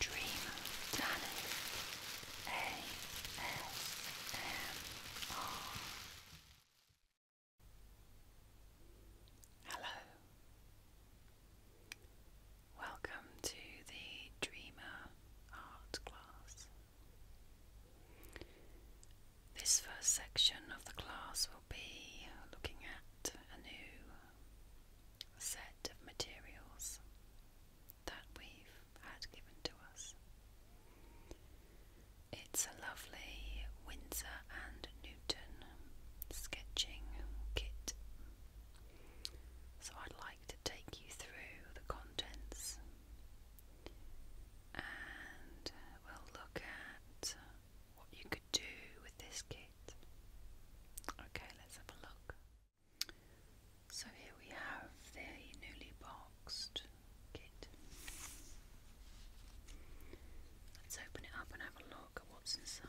Dream Danny ASMR. Hello. Welcome to the Dreamer Art class. This first section of the class will be looking at a new set of materials that we've had given to us. It's a lovely Windsor and Newton sketching kit. So I'd like to take you through the contents and we'll look at what you could do with this kit. Okay, let's have a look. So here we have the newly boxed kit. Let's open it up and have a look at what's inside.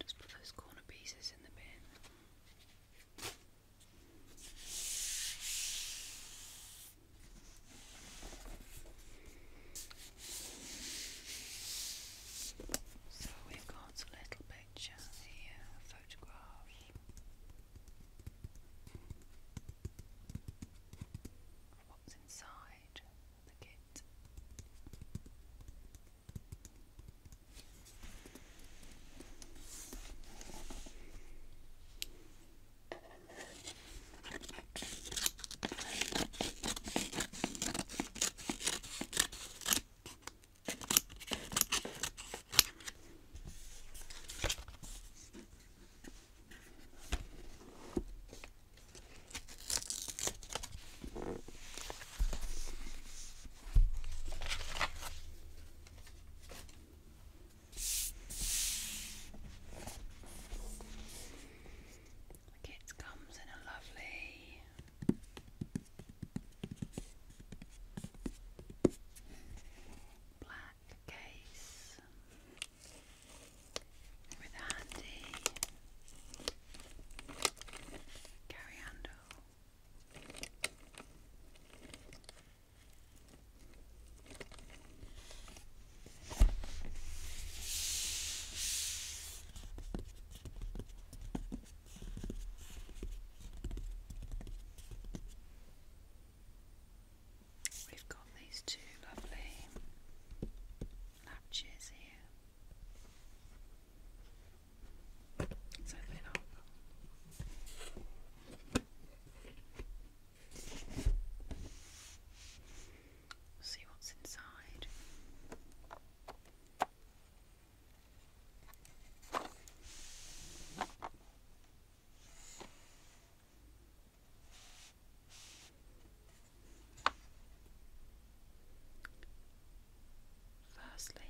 Just put those corner pieces in the bin. So we've got a little picture here, a photograph. What's inside? the kit. Like it comes in a lovely black case with a handy carry handle. We've got these two lovely latches here. open it up. See what's inside. Firstly,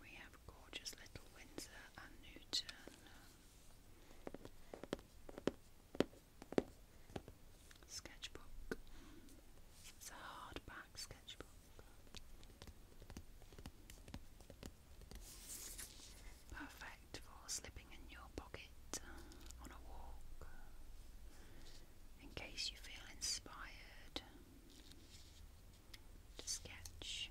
we have gorgeous little Windsor and Newton Sketchbook. It's a hardback sketchbook. Perfect for slipping in your pocket on a walk in case you feel inspired to sketch.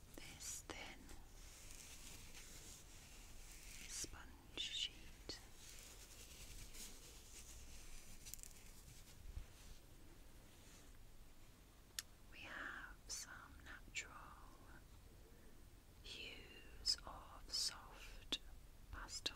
this thin sponge sheet. We have some natural hues of soft pastel.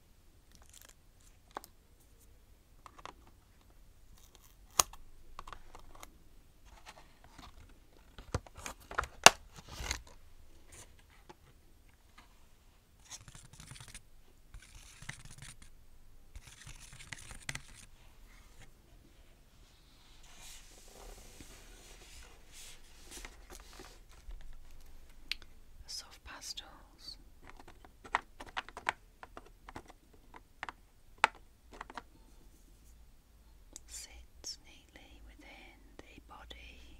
A soft pastel walls. within the body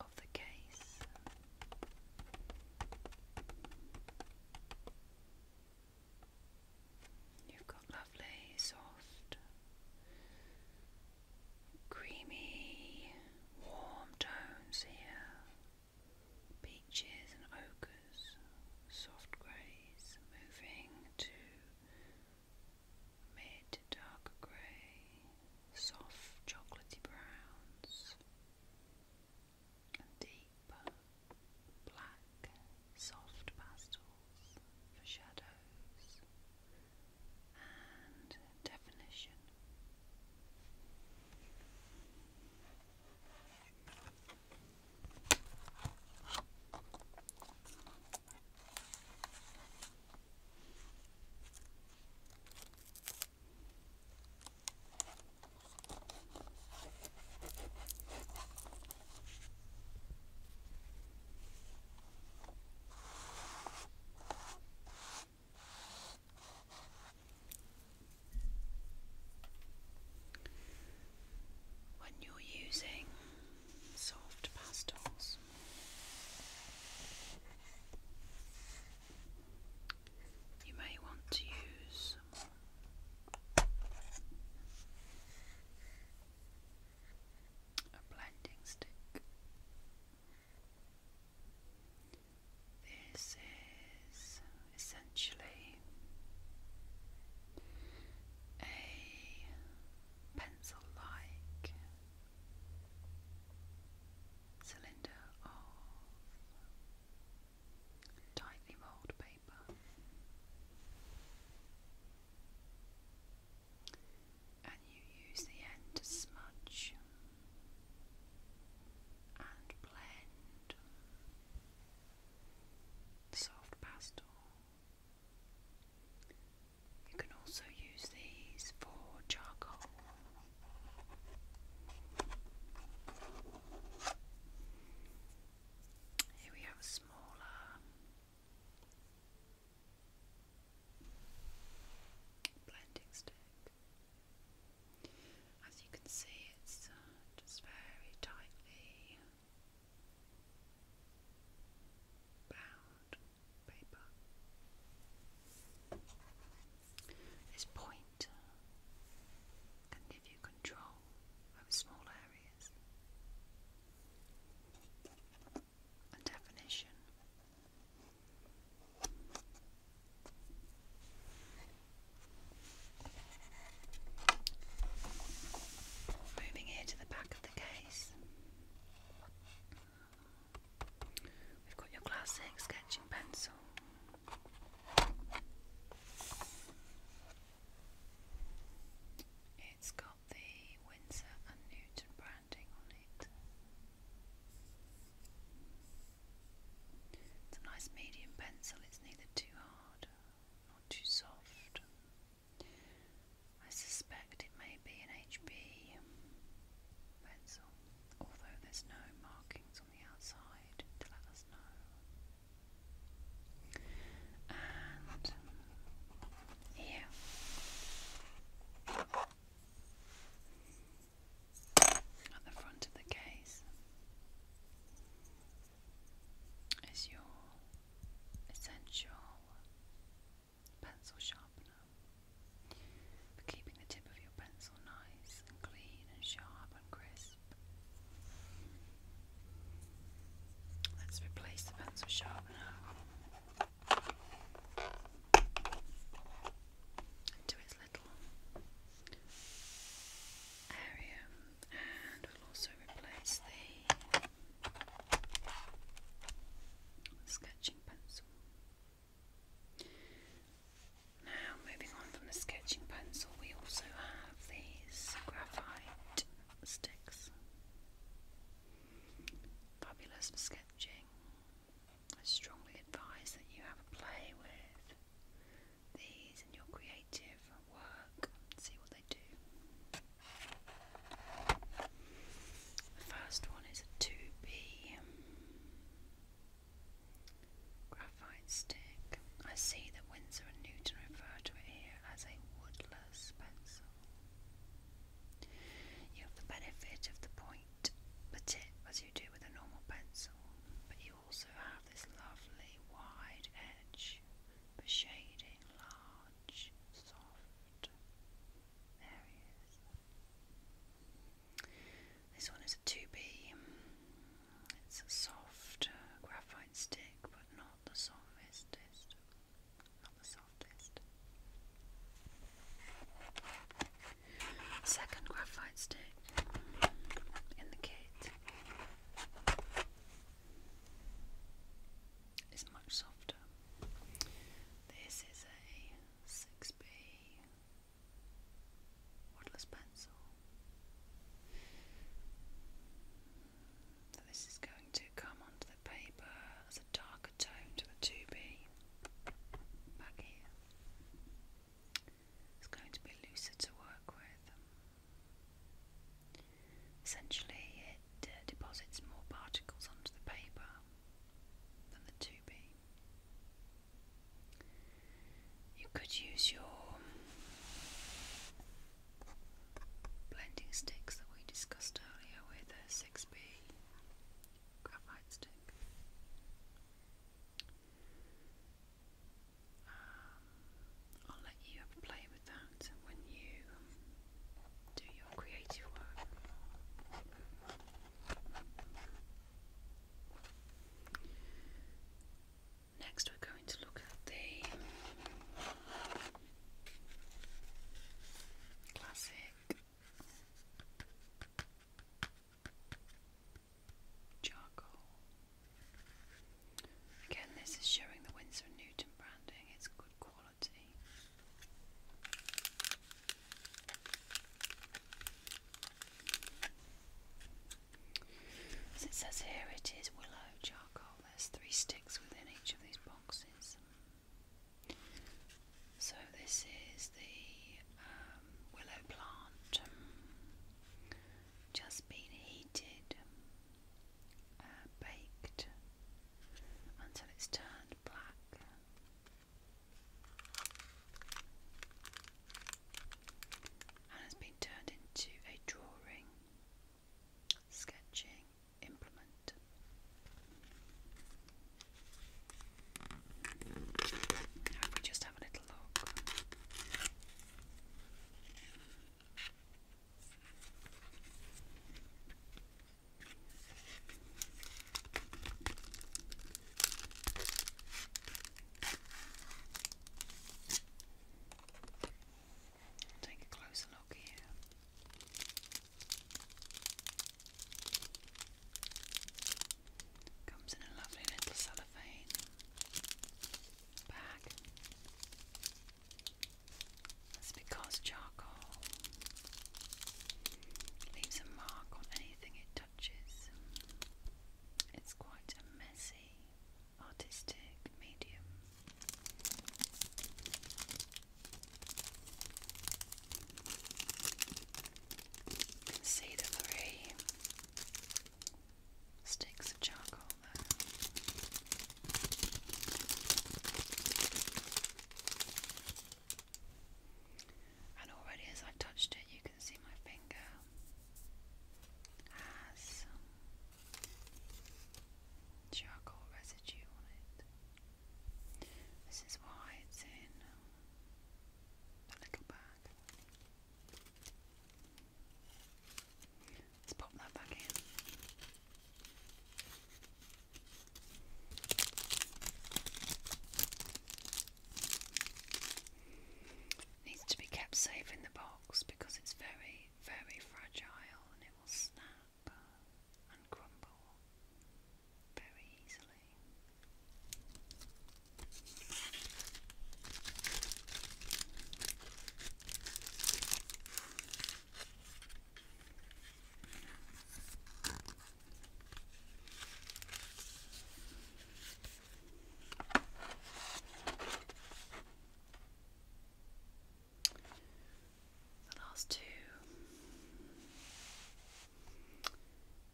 of the case. you lovely, soft, creamy, warm tones here. Beaches and ochres, soft greys, moving to mid dark grey, soft chocolatey browns, and deep black, soft pastel for shadows and definition. When you're using soft pastels, you may want to use a blending stick. This is essentially a pencil like cylinder of tightly rolled paper and you use the end to smudge and blend soft pastel. You can also use these for charcoal. Here we have a smaller blending stick. As you can see, it's uh, just very tightly bound paper. This pointer uh, can give you control over small areas a definition. Moving here to the back of the case, we've got your classic sketching pencil, it's got the Windsor and Newton branding on it. It's a nice medium pencil, it's neither too hard nor too soft. I suspect it may be an HB pencil, although there's no markings on the outside to let us know and here. At the front of the case is your essential pencil sharpener for keeping the tip of your pencil nice and clean and sharp and crisp. Let's replace the pencil sharpener to its little area, and we'll also replace the sketching pencil. Now, moving on from the sketching pencil, we also have these graphite sticks. Fabulous for sketching. I strongly advise that you have a play with these in your creative work see what they do. The first one is a 2B graphite nightstick. I see that Windsor and Newton refer to it here as a woodless pencil. You have the benefit of the point, the as you do with a normal pencil, but you also have this lovely wide edge for shading large, soft areas. This one is a 2B. It's a soft uh, graphite stick, but not the softest. Not the softest. Second graphite stick in the kit is much softer. This is a 6B. Waterless pencil. So this is going to come onto the paper as a darker tone to the 2B back here. It's going to be looser to work with. Essentially it uh, deposits more particles onto the paper than the 2B. You could use your blending sticks that we discussed earlier with a 6B graphite stick. Um, I'll let you play with that when you do your creative work. Next, we're going to look at the classic charcoal. Again, this is showing the Winsor Newton branding, it's good quality it says here, it is willow charcoal. There's three sticks within each of these boxes. So this is the um, willow plant, just been heated, uh, baked until it's turned black and has been turned into a drawing, sketching implement. Now, if just have a little look. Take a closer look here. Comes in a lovely little cellophane bag. That's because charcoal leaves a mark on anything it touches. It's quite a messy artistic medium. You sticks of charcoal And already as I've touched it, you can see my finger has some charcoal residue on it. This is why it's in a um, little bag. Let's pop that back in. Needs to be kept safe in the box because it's very, very fragile and it will snap and crumble very easily. The last two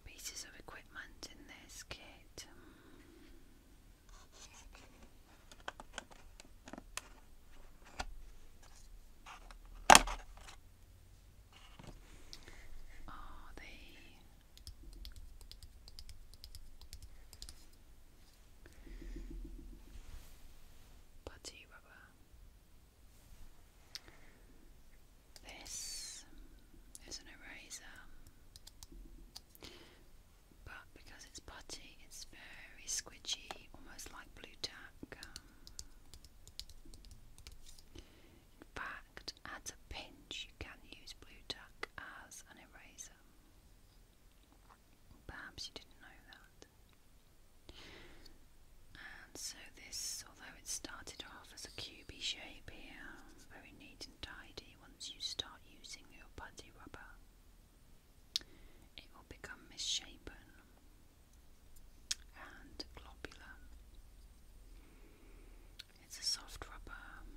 pieces of equipment in this kit. Are the Putty rubber. This is an eraser, but because it's putty, it's very squidgy, almost like blue tack. in fact, at a pinch you can use blue tack as an eraser. Perhaps you didn't know that. And so this, although it started off as a cubey shape here, very neat and tidy, once you start using your putty rubber, it will become misshapen and globular. It's a soft rubber, um,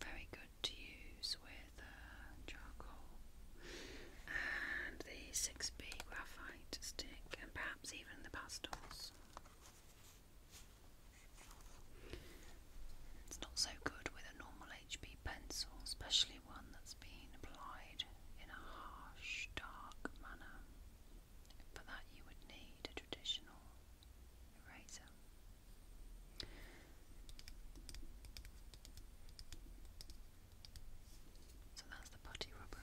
very good to use with uh, charcoal. And the 6B graphite stick, and perhaps even the pastels. It's not so good with a normal HB pencil, especially one that's been applied in a harsh, dark manner. For that, you would need a traditional eraser. So that's the putty rubber.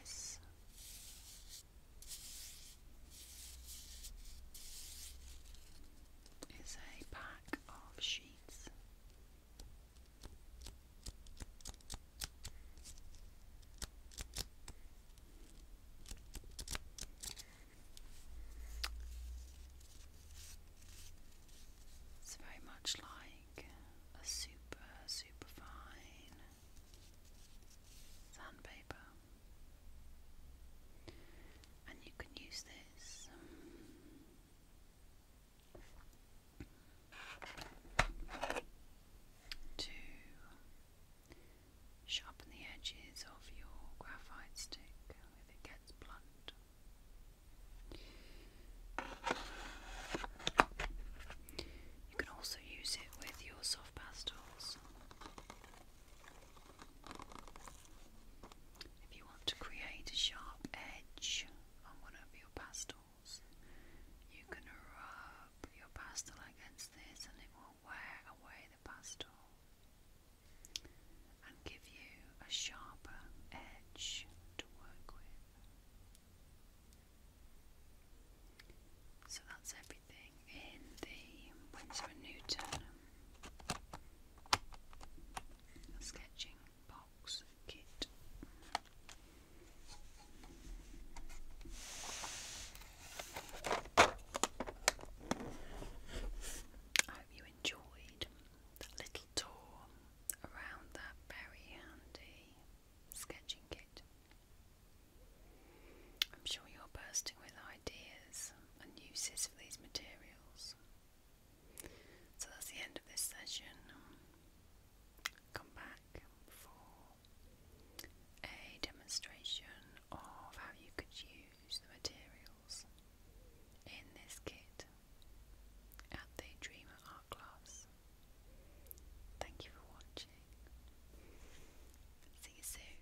This is a pack of sheets. It's very much like a super, super fine sandpaper and you can use this to sharpen the edges of your graphite stick if it gets blunt. You can also use it with your soft pastels. If you want to create a sharp edge on one of your pastels, you can rub your pastel against this and it will wear away the pastel and give you a sharper edge to work with. So that's everything in the Winsor Newton sketching box kit. I hope you enjoyed that little tour around that very handy sketching kit. I'm sure you're bursting with ideas and uses for these materials. So that's the end of this session. Come back for a demonstration of how you could use the materials in this kit at the Dreamer Art Class. Thank you for watching. See you soon.